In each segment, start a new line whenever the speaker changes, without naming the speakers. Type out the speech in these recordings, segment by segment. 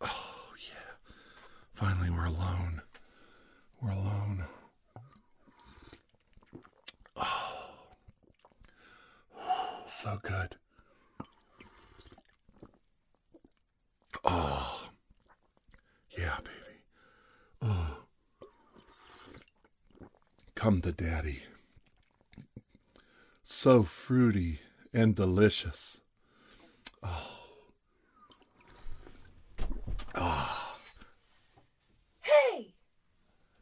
Oh, yeah. Finally, we're alone. We're alone. Oh, so good. Oh, yeah, baby. Oh, come to daddy. So fruity and delicious. Oh. Ah. Hey!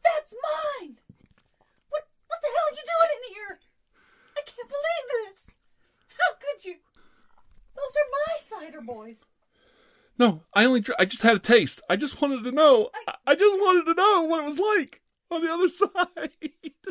That's mine! What what the hell are you doing in here? I can't believe this. How could you? Those are my cider boys. No, I only I just had a taste. I just wanted to know. I, I just wanted to know what it was like on the other side.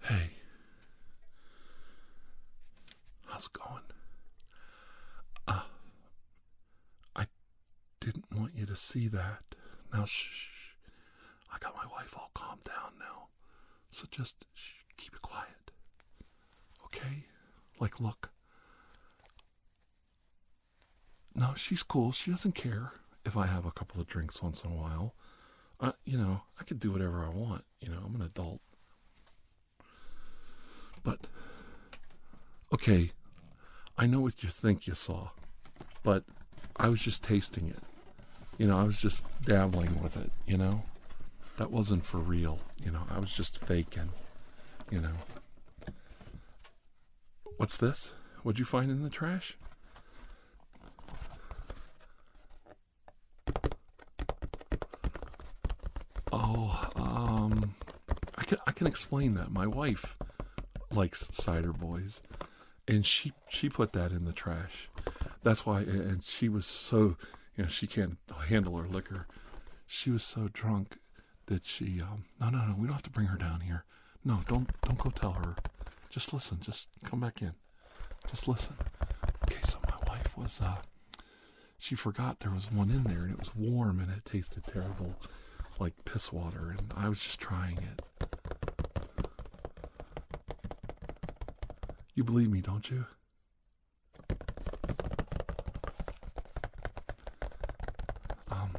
Hey, how's it going? Uh, I didn't want you to see that. Now, shh. I got my wife all calmed down now. So just keep it quiet. Okay? Like, look. No, she's cool. She doesn't care if I have a couple of drinks once in a while. I, you know, I can do whatever I want. You know, I'm an adult. But, okay, I know what you think you saw, but I was just tasting it. You know, I was just dabbling with it, you know? That wasn't for real, you know? I was just faking, you know? What's this? What'd you find in the trash? Oh, um, I can I can explain that. My wife likes cider boys, and she she put that in the trash. That's why, and she was so, you know, she can't handle her liquor. She was so drunk that she, um, no, no, no, we don't have to bring her down here. No, don't don't go tell her. Just listen. Just come back in. Just listen. Okay, so my wife was, uh, she forgot there was one in there, and it was warm, and it tasted terrible, like piss water, and I was just trying it. You believe me, don't you? Um,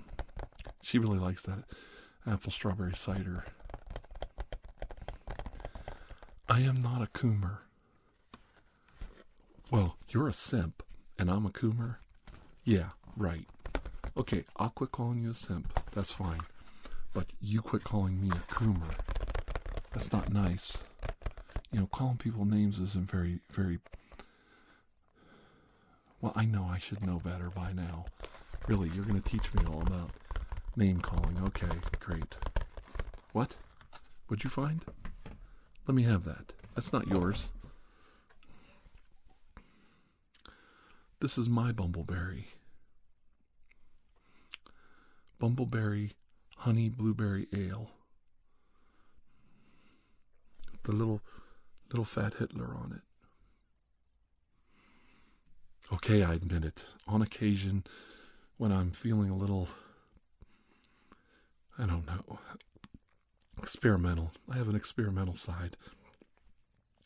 she really likes that apple strawberry cider. I am not a coomer. Well, you're a simp, and I'm a coomer. Yeah, right. Okay, I'll quit calling you a simp. That's fine. But you quit calling me a coomer. That's not nice. You know, calling people names isn't very, very. Well, I know I should know better by now. Really, you're going to teach me all about name calling. Okay, great. What? What'd you find? Let me have that. That's not yours. This is my bumbleberry. Bumbleberry honey blueberry ale. The little little fat Hitler on it. Okay, I admit it. On occasion, when I'm feeling a little, I don't know, experimental, I have an experimental side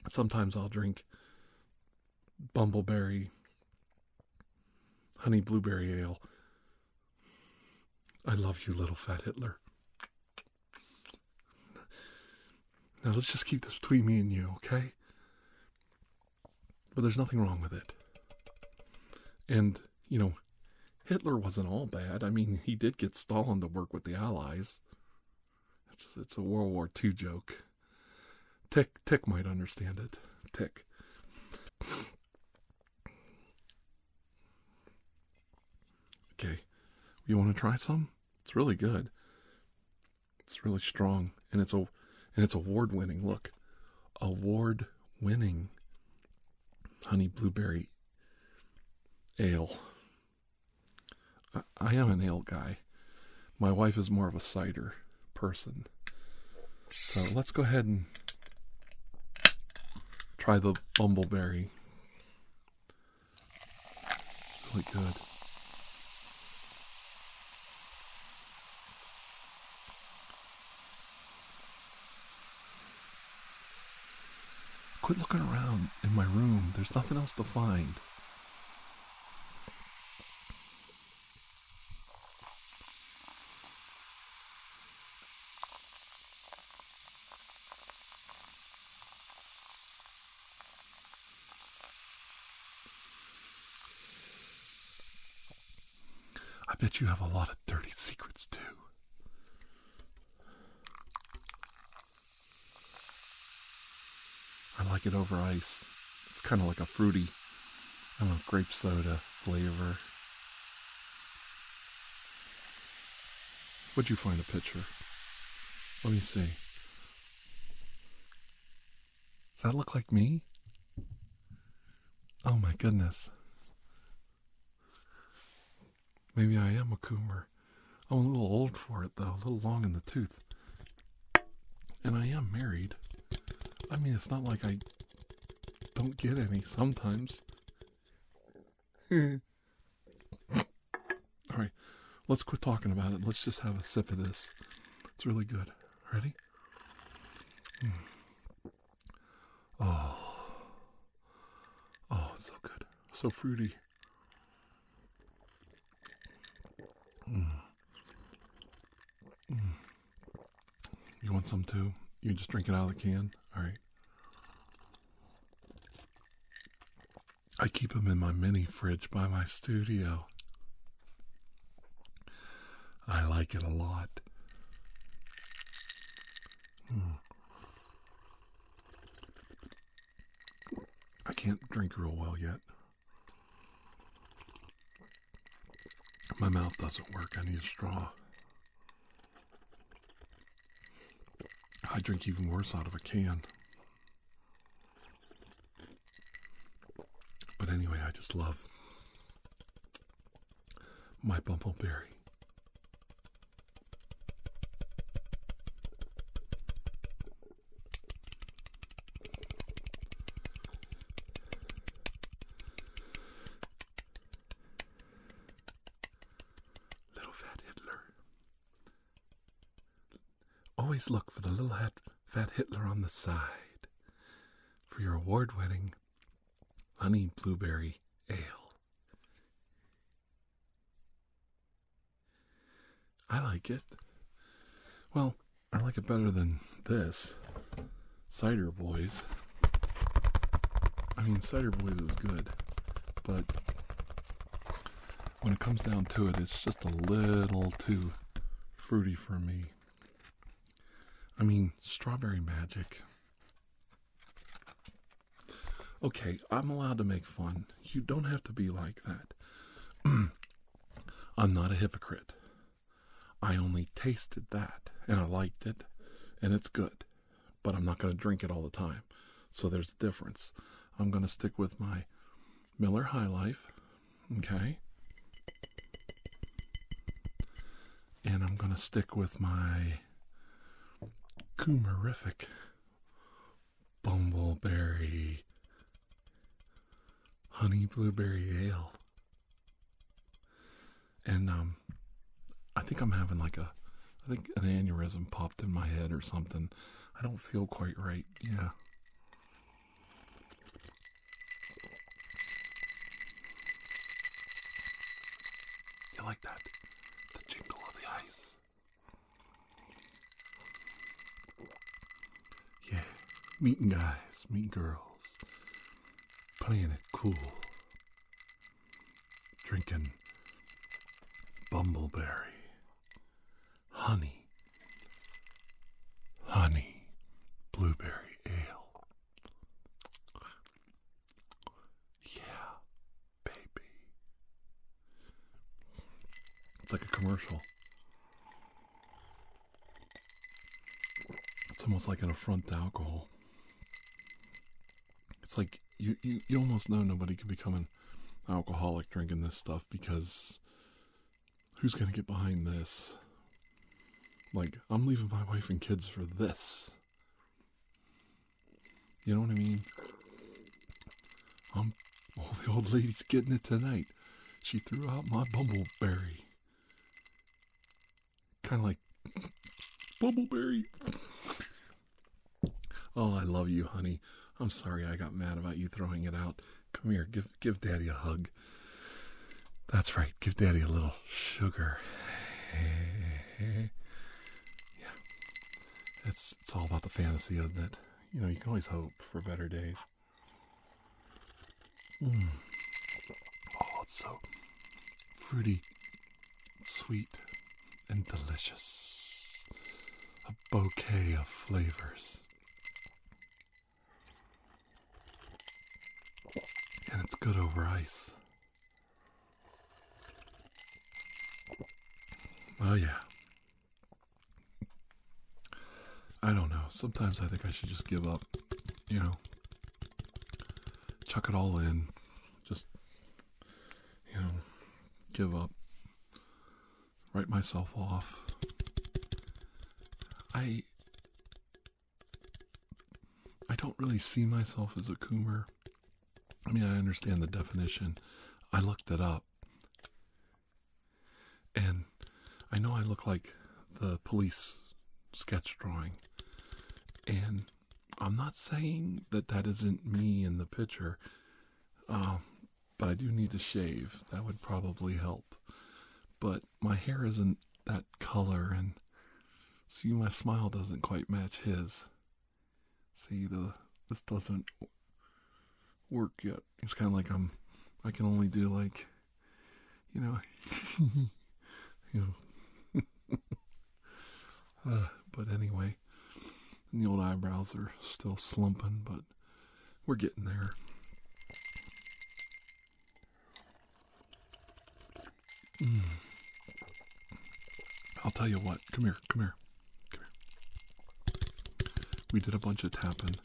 sometimes I'll drink bumbleberry honey blueberry ale. I love you, little fat Hitler. Now let's just keep this between me and you, okay? But there's nothing wrong with it. And, you know, Hitler wasn't all bad. I mean, he did get Stalin to work with the Allies. It's it's a World War II joke. Tick Tick might understand it. Tick. Okay. You want to try some? It's really good. It's really strong and it's a and it's award winning. Look. Award winning honey blueberry ale. I, am an ale guy. My wife is more of a cider person. So let's go ahead and try the bumbleberry. Really good. Quit looking around in my room. There's nothing else to find. I bet you have a lot of dirty secrets too. I like it over ice. It's kind of like a fruity, I don't know, grape soda flavor. Would you find a picture? Let me see. Does that look like me? Oh my goodness. Maybe I am a coomer. I'm a little old for it, though, a little long in the tooth. And I am married. I mean, it's not like I don't get any sometimes. All right, let's quit talking about it. Let's just have a sip of this. It's really good. Ready? Mm. Oh, oh, it's so good, so fruity. You want some too? You just drink it out of the can? All right. I keep them in my mini fridge by my studio. I like it a lot. Hmm. I can't drink real well yet. My mouth doesn't work. I need a straw. I drink even worse out of a can. But anyway, I just love my bumbleberry. Little Fat Hitler. Always look for the little Fat Hitler on the side for your award winning honey blueberry ale. I like it. Well, I like it better than this. Cider Boys. I mean, Cider Boys is good, but when it comes down to it, it's just a little too fruity for me. I mean, strawberry magic. Okay, I'm allowed to make fun. You don't have to be like that. I'm not a hypocrite. I only tasted that and I liked it and it's good, but I'm not going to drink it all the time. So there's a difference. I'm going to stick with my Miller High Life, okay? And I'm going to stick with my Coomerific bumbleberry honey blueberry ale. And um I think I'm having like a I think an aneurysm popped in my head or something. I don't feel quite right. Yeah. You like that? The jingle the ice. Yeah, meeting guys, meeting girls, playing it cool, drinking bumbleberry, honey, honey, blueberry ale. Yeah, baby. It's like a commercial. It's almost like an affront to alcohol. It's like you, you, you almost know nobody can become an alcoholic drinking this stuff because who's going to get behind this? Like, I'm leaving my wife and kids for this. You know what I mean? I'm um, all the old lady's getting it tonight. She threw out my bumbleberry. Kind of like bumbleberry. oh, I love you, honey. I'm sorry I got mad about you throwing it out. Come here, give give daddy a hug. That's right, give daddy a little sugar. yeah. It's it's all about the fantasy, isn't it? you know, you can always hope for better days. Mm. Oh, it's so fruity, sweet, and delicious. A bouquet of flavors. And it's good over ice. Oh, yeah. I don't know. Sometimes I think I should just give up, you know, chuck it all in, just, you know, give up, write myself off. I. I don't really see myself as a coomer. I mean, I understand the definition. I looked it up. And I know I look like the police sketch drawing, and I'm not saying that that isn't me in the picture, um, but I do need to shave. That would probably help. But my hair isn't that color, and see, my smile doesn't quite match his. See the this doesn't work yet. It's kind of like I'm I can only do like you know you know uh, but anyway the old eyebrows are still slumping but we're getting there. Mm. I'll tell you what. Come here. Come here. We did a bunch of tapping.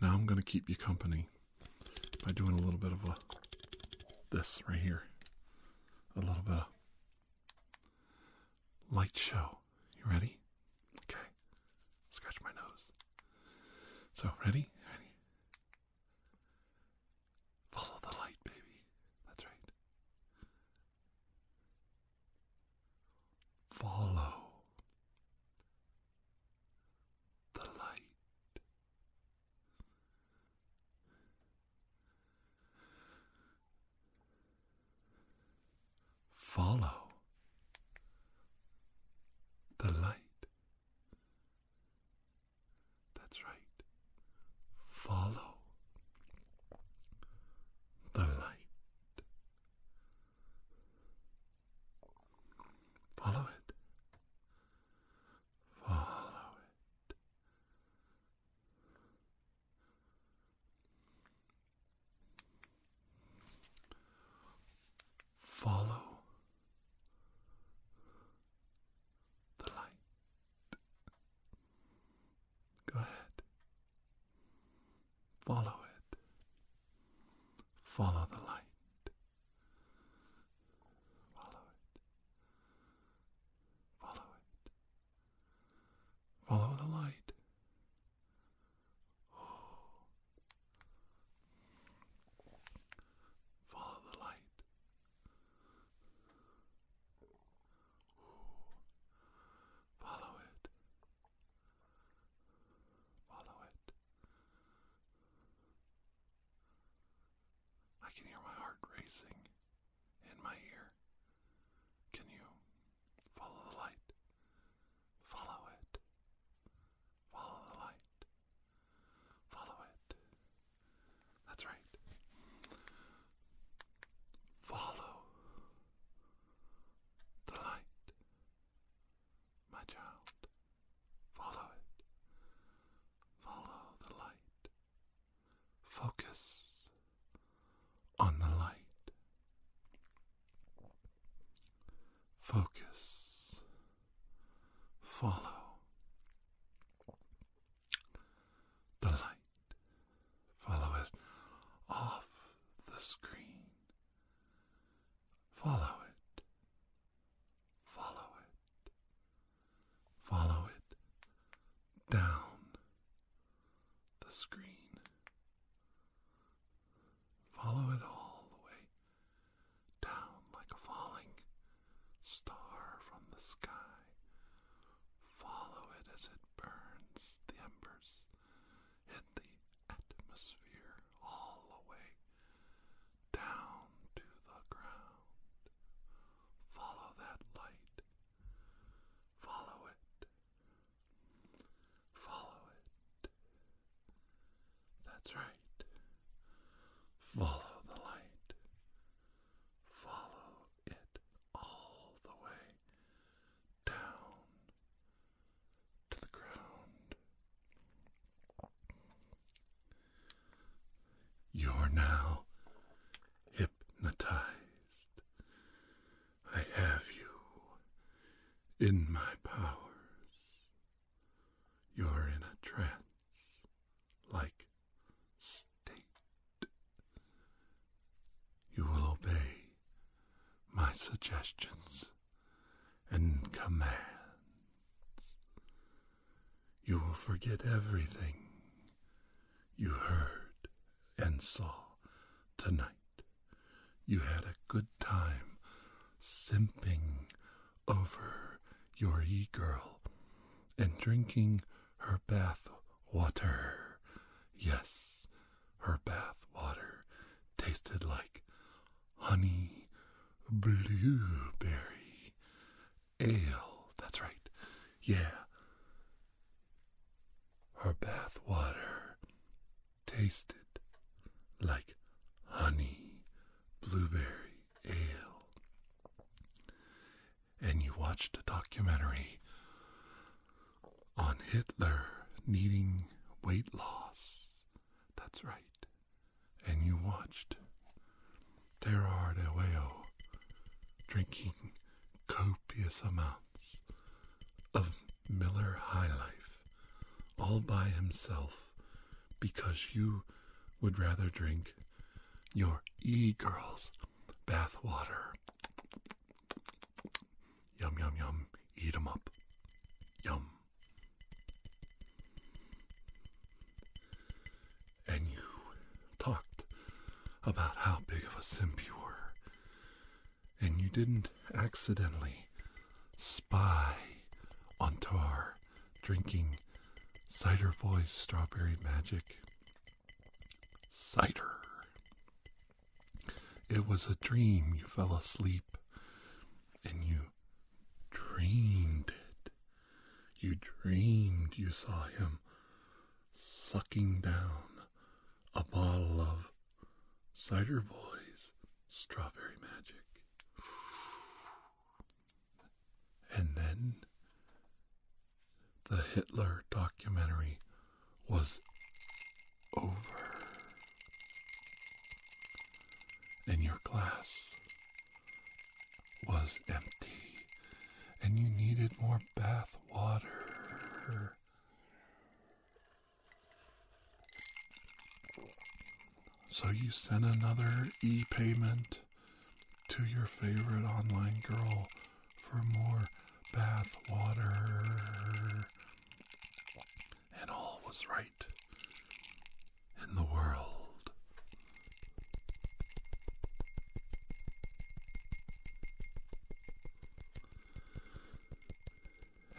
Now I'm going to keep you company by doing a little bit of a this right here. A little bit of light show. You ready? Okay. Scratch my nose. So, ready? Ready? Follow the light, baby. That's right. Follow the light. Follow the light. That's right. Follow the light. Follow it. Follow it. Follow the light. Go ahead. Follow it. Follow the light. Follow it. Follow it. Follow the light. Oh. Follow the light. Oh. Follow it. Follow it. I can hear my heart racing in my ear. Can you follow the light? Follow it. Follow the light. Follow it. That's right. Follow the light. My child, follow it. Follow the light. Focus on the light. Focus. Follow the light. Follow it off the screen. Follow it. Follow it. Follow it down the screen. Follow it all the way down like a falling star from the sky. Follow it as it burns the embers and the atmosphere all the way down to the ground. Follow that light. Follow it. Follow it. That's right. Follow the light. Follow it all the way down to the ground. You are now hypnotized. I have you in my powers. You're in a trance like state. You will obey my suggestions and commands. You will forget everything you heard and saw tonight. You had a good time simping over your e girl and drinking her bath water. Yes, her bath water tasted like honey blueberry ale. That's right. Yeah. Her bath water tasted like honey blueberry ale. And you watched a documentary on Hitler needing weight loss. That's right. And you watched Terror de drinking copious amounts of Miller High Life all by himself because you would rather drink your e girl's bathwater Yum, yum, yum. Eat 'em up. Yum. And you talked about how big of a simp you were. And you didn't accidentally spy on Tar drinking Cider Boy's Strawberry Magic. Cider. It was a dream. You fell asleep and you dreamed it. You dreamed you saw him sucking down a bottle of Cider Boys Strawberry Magic. And then the Hitler documentary was over. And your glass was empty, and you needed more bath water. So you sent another e payment to your favorite online girl for more bath water and all was right in the world.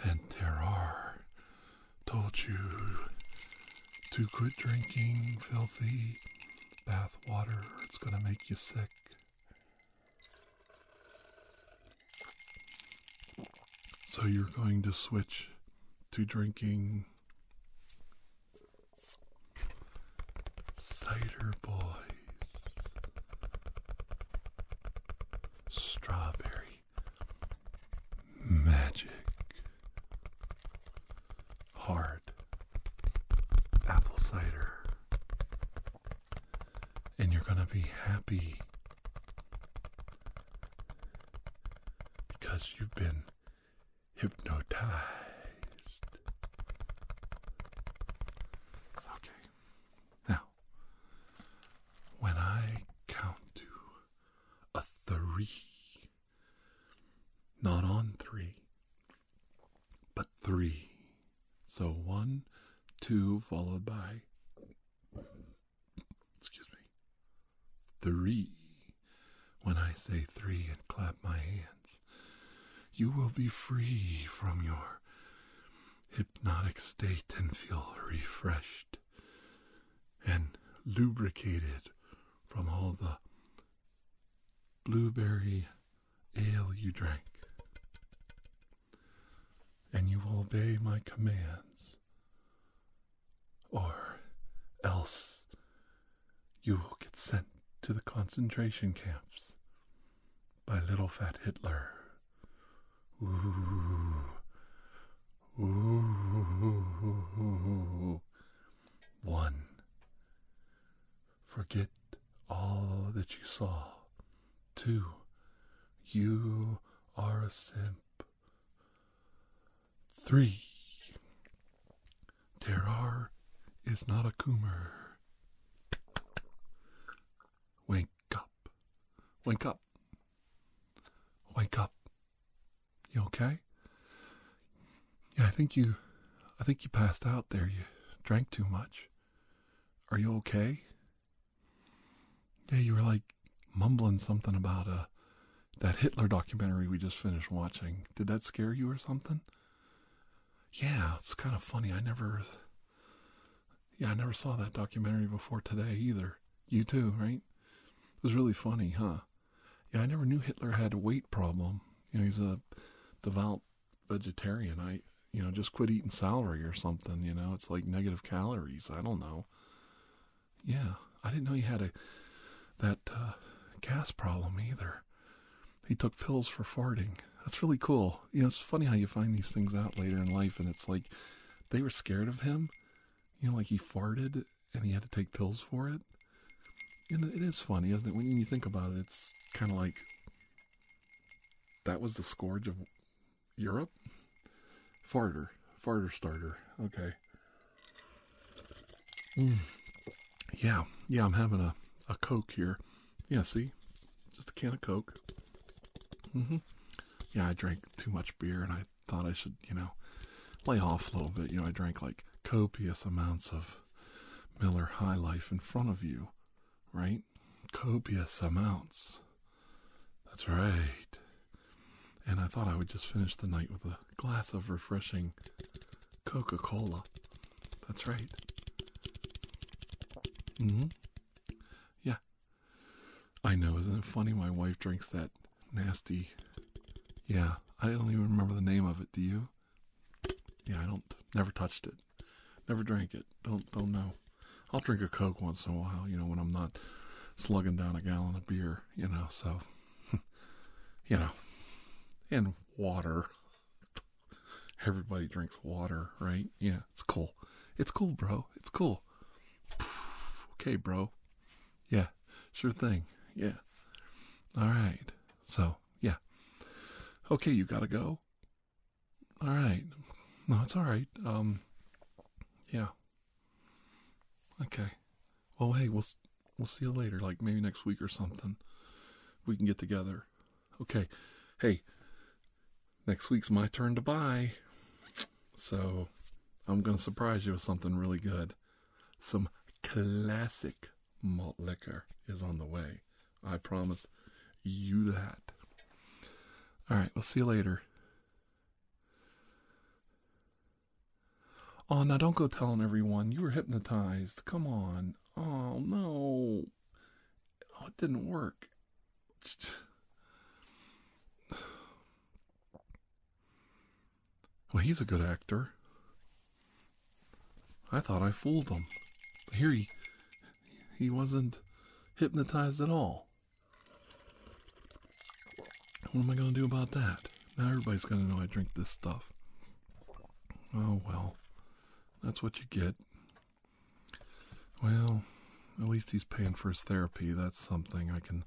And there are told you to quit drinking filthy bath water, it's going to make you sick. So you're going to switch to drinking Cider Boys Strawberry Magic Hard Apple Cider and you're going to be happy because you've been hypnotized. Okay. Now, when I count to a three, not on three, but three. So one, two, followed by Excuse me. Three. When I say three and clap my hands, you will be free from your hypnotic state and feel refreshed and lubricated from all the blueberry ale you drank and you will obey my commands, or else you will get sent to the concentration camps by little fat Hitler. Ooh. Ooh. One. Forget all that you saw Two, you are a simp. Three, Terrar is not a coomer. Wake up. Wake up. Wake up. You okay? Yeah, I think you I think you passed out there. You drank too much. Are you okay? Yeah, you were like mumbling something about uh, that Hitler documentary we just finished watching. Did that scare you or something? Yeah, it's kind of funny. I never, yeah, I never saw that documentary before today either. You too, right? It was really funny, huh? Yeah, I never knew Hitler had a weight problem. You know, he's a devout vegetarian. I you know, just quit eating celery or something. You know, it's like negative calories. I don't know. Yeah, I didn't know he had a that uh, gas problem either. He took pills for farting. That's really cool. You know, it's funny how you find these things out later in life, and it's like they were scared of him. You know, like he farted and he had to take pills for it. And it is funny, isn't it? When you think about it, it's kind of like that was the scourge of Europe? Farter. Farter starter. Okay. Mm. Yeah. Yeah, I'm having a, a Coke here. Yeah, see? Just a can of Coke. hmm Yeah, I drank too much beer and I thought I should, you know, lay off a little bit. You know, I drank like copious amounts of Miller High Life in front of you right? Copious amounts. That's right. And I thought I would just finish the night with a glass of refreshing Coca Cola. That's right. hmm. Yeah. I know, isn't it funny? My wife drinks that nasty. Yeah, I don't even remember the name of it. Do you? Yeah, I don't. Never touched it. Never drank it. Don't don't know. I'll drink a Coke once in a while, you know, when I'm not slugging down a gallon of beer, you know, so, you know, and water. Everybody drinks water, right? Yeah, it's cool. It's cool, bro. It's cool. okay, bro. Yeah, sure thing. Yeah. All right. So, yeah. Okay, you got to go. All right. No, it's all right. Um, yeah. Okay. Well, hey, we'll we'll see you later. Like maybe next week or something. We can get together. Okay. Hey. Next week's my turn to buy. So, I'm gonna surprise you with something really good. Some classic malt liquor is on the way. I promise you that. All right. We'll see you later. Oh, now don't go telling everyone. You were hypnotized. Come on. Oh, no. Oh, it didn't work. Well, he's a good actor. I thought I fooled him. here he, he wasn't hypnotized at all. What am I going to do about that? Now everybody's going to know I drink this stuff. Oh, well. That's what you get. Well, at least he's paying for his therapy. That's something I can,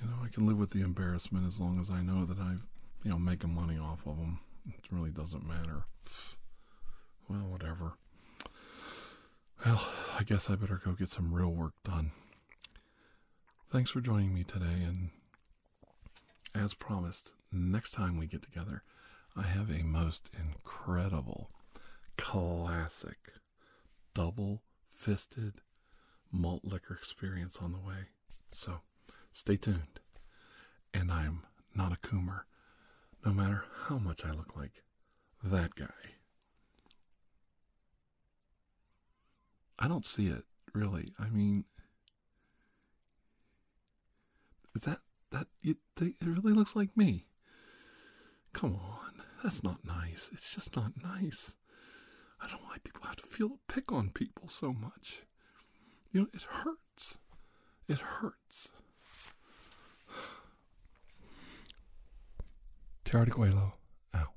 you know, I can live with the embarrassment as long as I know that I've, you know, making money off of him. It really doesn't matter. Well, whatever. Well, I guess I better go get some real work done. Thanks for joining me today, and as promised, next time we get together, I have a most incredible, classic, double fisted malt liquor experience on the way. So stay tuned. And I'm not a coomer, no matter how much I look like that guy. I don't see it really. I mean, that that you think it really looks like me? Come on, that's not nice. It's just not nice. I don't why people have to feel pick on people so much. You know, it hurts. It hurts words. de Coelho out.